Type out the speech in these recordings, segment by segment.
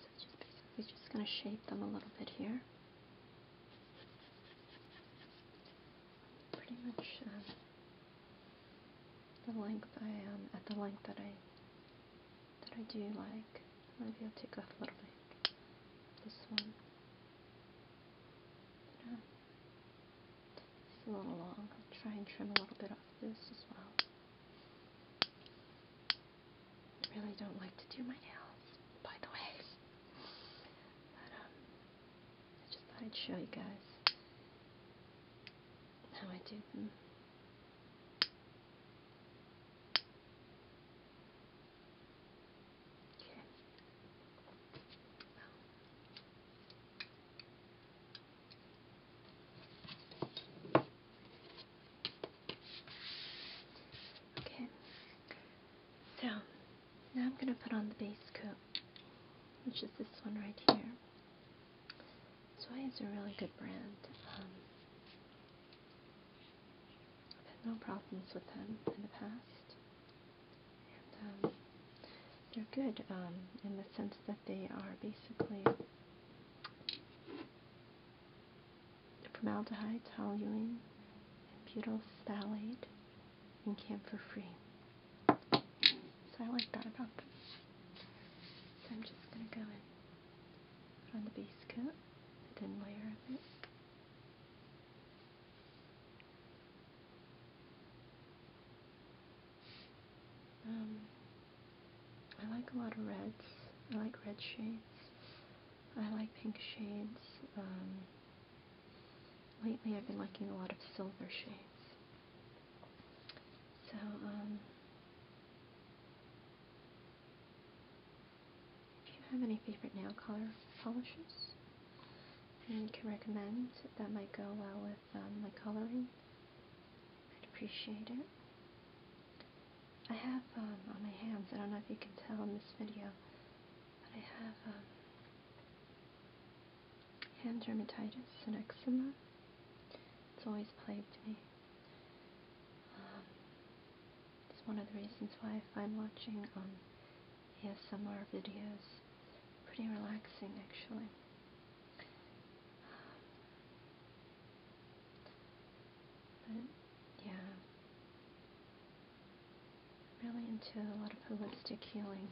So just basically just going to shape them a little bit here. Pretty much um, the length I am um, at the length that I that I do like. Maybe I'll take off a little bit. This one. Yeah. It's a little long. I'll try and trim a little bit off this as well. I really don't like to do my nails, by the way. But, um, I just thought I'd show you guys how I do them. Okay. Well, Okay, so now I'm going to put on the base coat, which is this one right here. So I is a really good brand. Um, I've had no problems with them in the past. And, um, they're good um, in the sense that they are basically formaldehyde, toluene, and butyl phthalate and camphor free. So I like that about this. So I'm just going to go in, put on the base coat, the thin layer of it. Um, I like a lot of reds. I like red shades. I like pink shades. Um, lately I've been liking a lot of silver shades. So, um, if you have any favorite nail color polishes, and can recommend that might go well with um, my coloring I'd appreciate it. I have um, on my hands, I don't know if you can tell in this video, but I have um, hand dermatitis and eczema. It's always plagued me. Um, it's one of the reasons why I find watching ASMR videos pretty relaxing, actually. But yeah, really into a lot of holistic healing.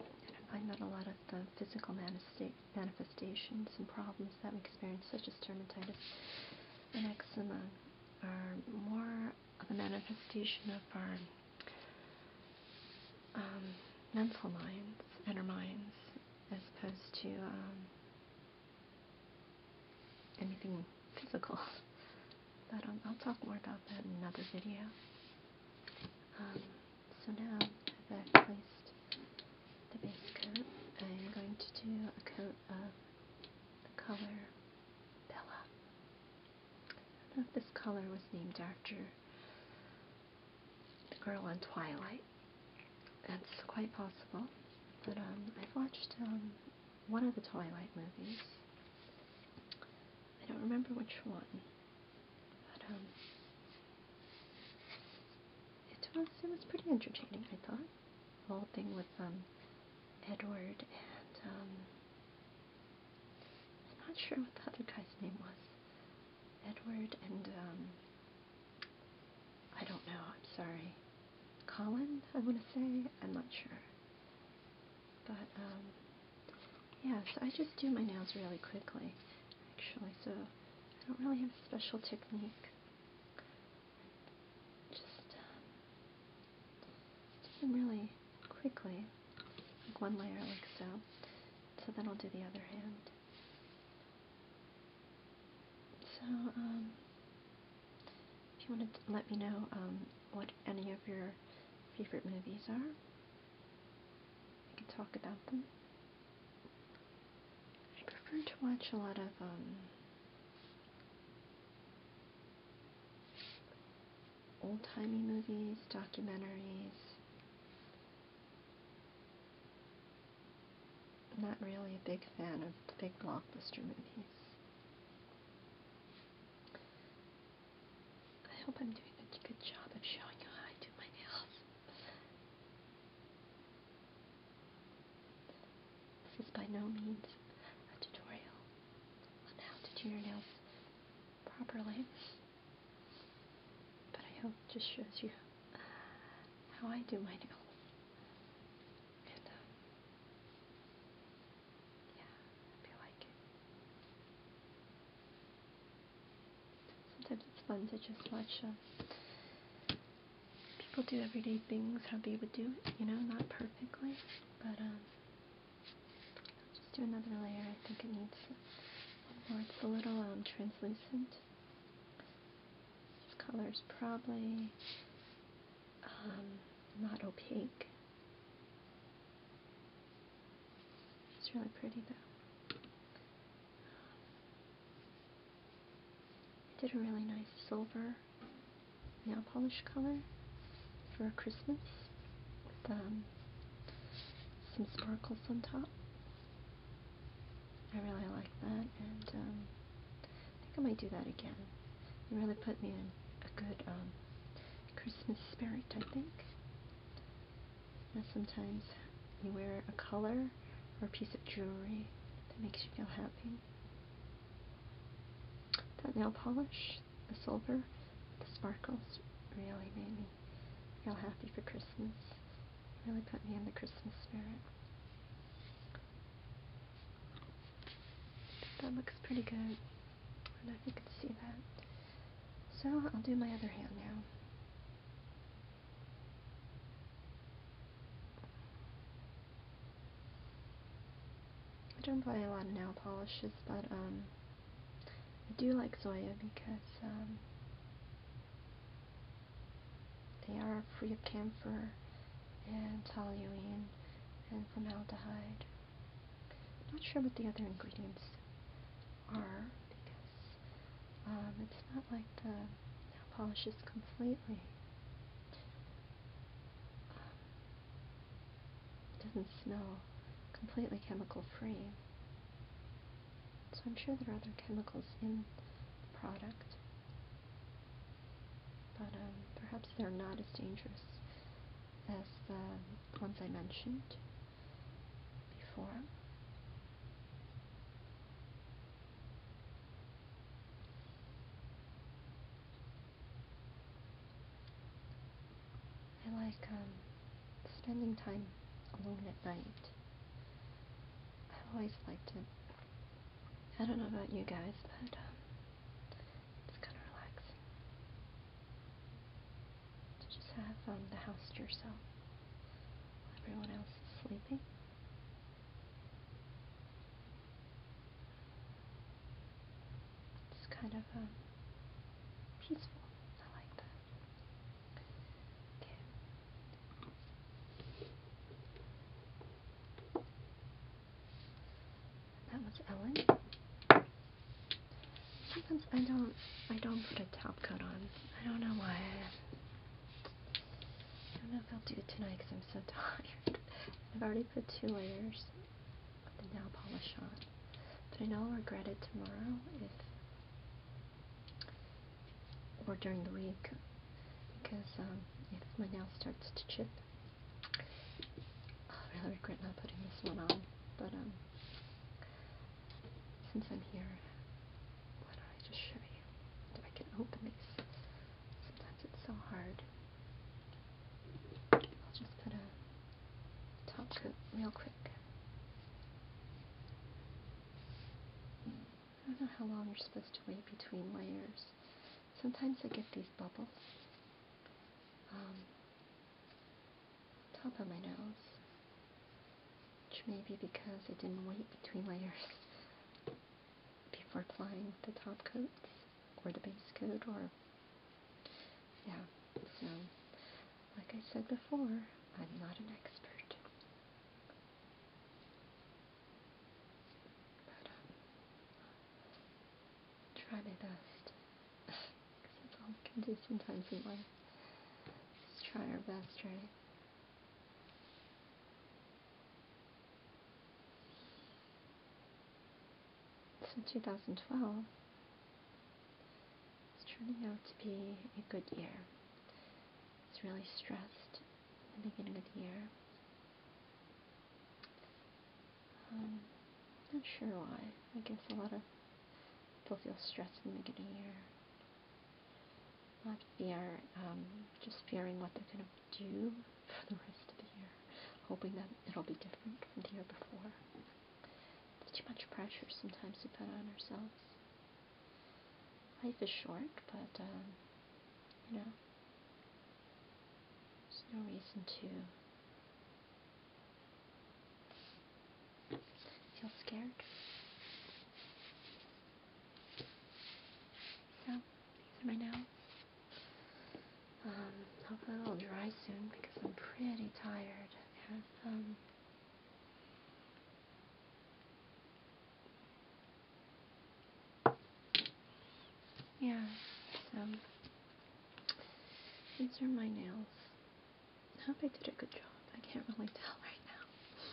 And I find that a lot of the physical manifesta manifestations and problems that we experience, such as dermatitis and eczema, are more of a manifestation of our um, mental minds and our minds as opposed to um, anything physical. But um, I'll talk more about that in another video. so now that I've placed the base coat, I'm going to do a coat of the color Bella. I don't know if this color was named after the girl on Twilight. That's quite possible. But um, I've watched um, one of the Twilight movies. I don't remember which one. But um, it was it was pretty entertaining. I thought the whole thing with um Edward and um I'm not sure what the other guy's name was. Edward and, um, I don't know, I'm sorry. Colin, I want to say. I'm not sure. But, um, yeah, so I just do my nails really quickly, actually. So I don't really have a special technique. Just, um, really quickly, like one layer like so. So then I'll do the other hand. So, um, if you want to let me know um, what any of your favorite movies are, we can talk about them. I prefer to watch a lot of um, old-timey movies, documentaries. I'm not really a big fan of big blockbuster movies. I hope I'm doing a good job of showing how I do my nails. This is by no means a tutorial on how to do your nails properly. But I hope it just shows you how I do my nails. And, um, yeah, if you like it. Sometimes it's fun to just watch uh, people do everyday things how they would do it, you know, not perfectly, but um, just do another layer. I think it needs more. It's a little um, translucent. This color is probably um, not opaque. It's really pretty though. I did a really nice silver nail polish color for Christmas with um, some sparkles on top. I really like that and um, I think I might do that again. It really put me in a good um, Christmas spirit, I think. sometimes you wear a color or a piece of jewelry that makes you feel happy. That nail polish, the silver, the sparkles really made me feel happy for Christmas. Really put me in the Christmas spirit. That looks pretty good. I don't know if you can see that. So I'll do my other hand now. I don't buy a lot of nail polishes, but um, I do like Zoya because um, they are free of camphor and toluene and formaldehyde. I'm not sure what the other ingredients are because um, it's not like the nail polishes completely it doesn't smell completely chemical free. So I'm sure there are other chemicals in the product. But um, perhaps they're not as dangerous as the ones I mentioned before. I like um, spending time alone at night. I've always liked it. I don't know about you guys, but um, it's kind of relaxing to just have um, the house to yourself. Everyone else is sleeping. It's kind of um, peaceful. I like that. That was Ellen. Sometimes I don't I don't put a top coat on. I don't know why. I don't know if I'll do tonight because I'm so tired. I've already put two layers of the nail polish on, but I know I'll regret it tomorrow or during the week, because um, if my nail starts to chip, I really regret not putting this one on, but um, since I'm here, why do I just show you if I can open these? Sometimes it's so hard. I'll just put a top coat real quick. I don't know how long you're supposed to wait between layers. Sometimes I get these bubbles. Um, top of my nose. Which may be because I didn't wait between layers. Before applying the top coats or the base coat or yeah so like I said before I'm not an expert but um, try my best because that's all we can do sometimes in life just try our best right it's in 2012. It's turning out to be a good year. It's really stressed in the beginning of the year. Um, not sure why. I guess a lot of people feel stressed in the beginning of the year not fear, um, just fearing what they're going to do for the rest of the year, hoping that it'll be different from the year before. It's too much pressure sometimes to put on ourselves. Life is short, but, um, you know, there's no reason to feel scared. So, these are my nails. Um, hopefully it'll dry soon because I'm pretty tired. Um, yeah, so, these are my nails. I hope I did a good job. I can't really tell right now.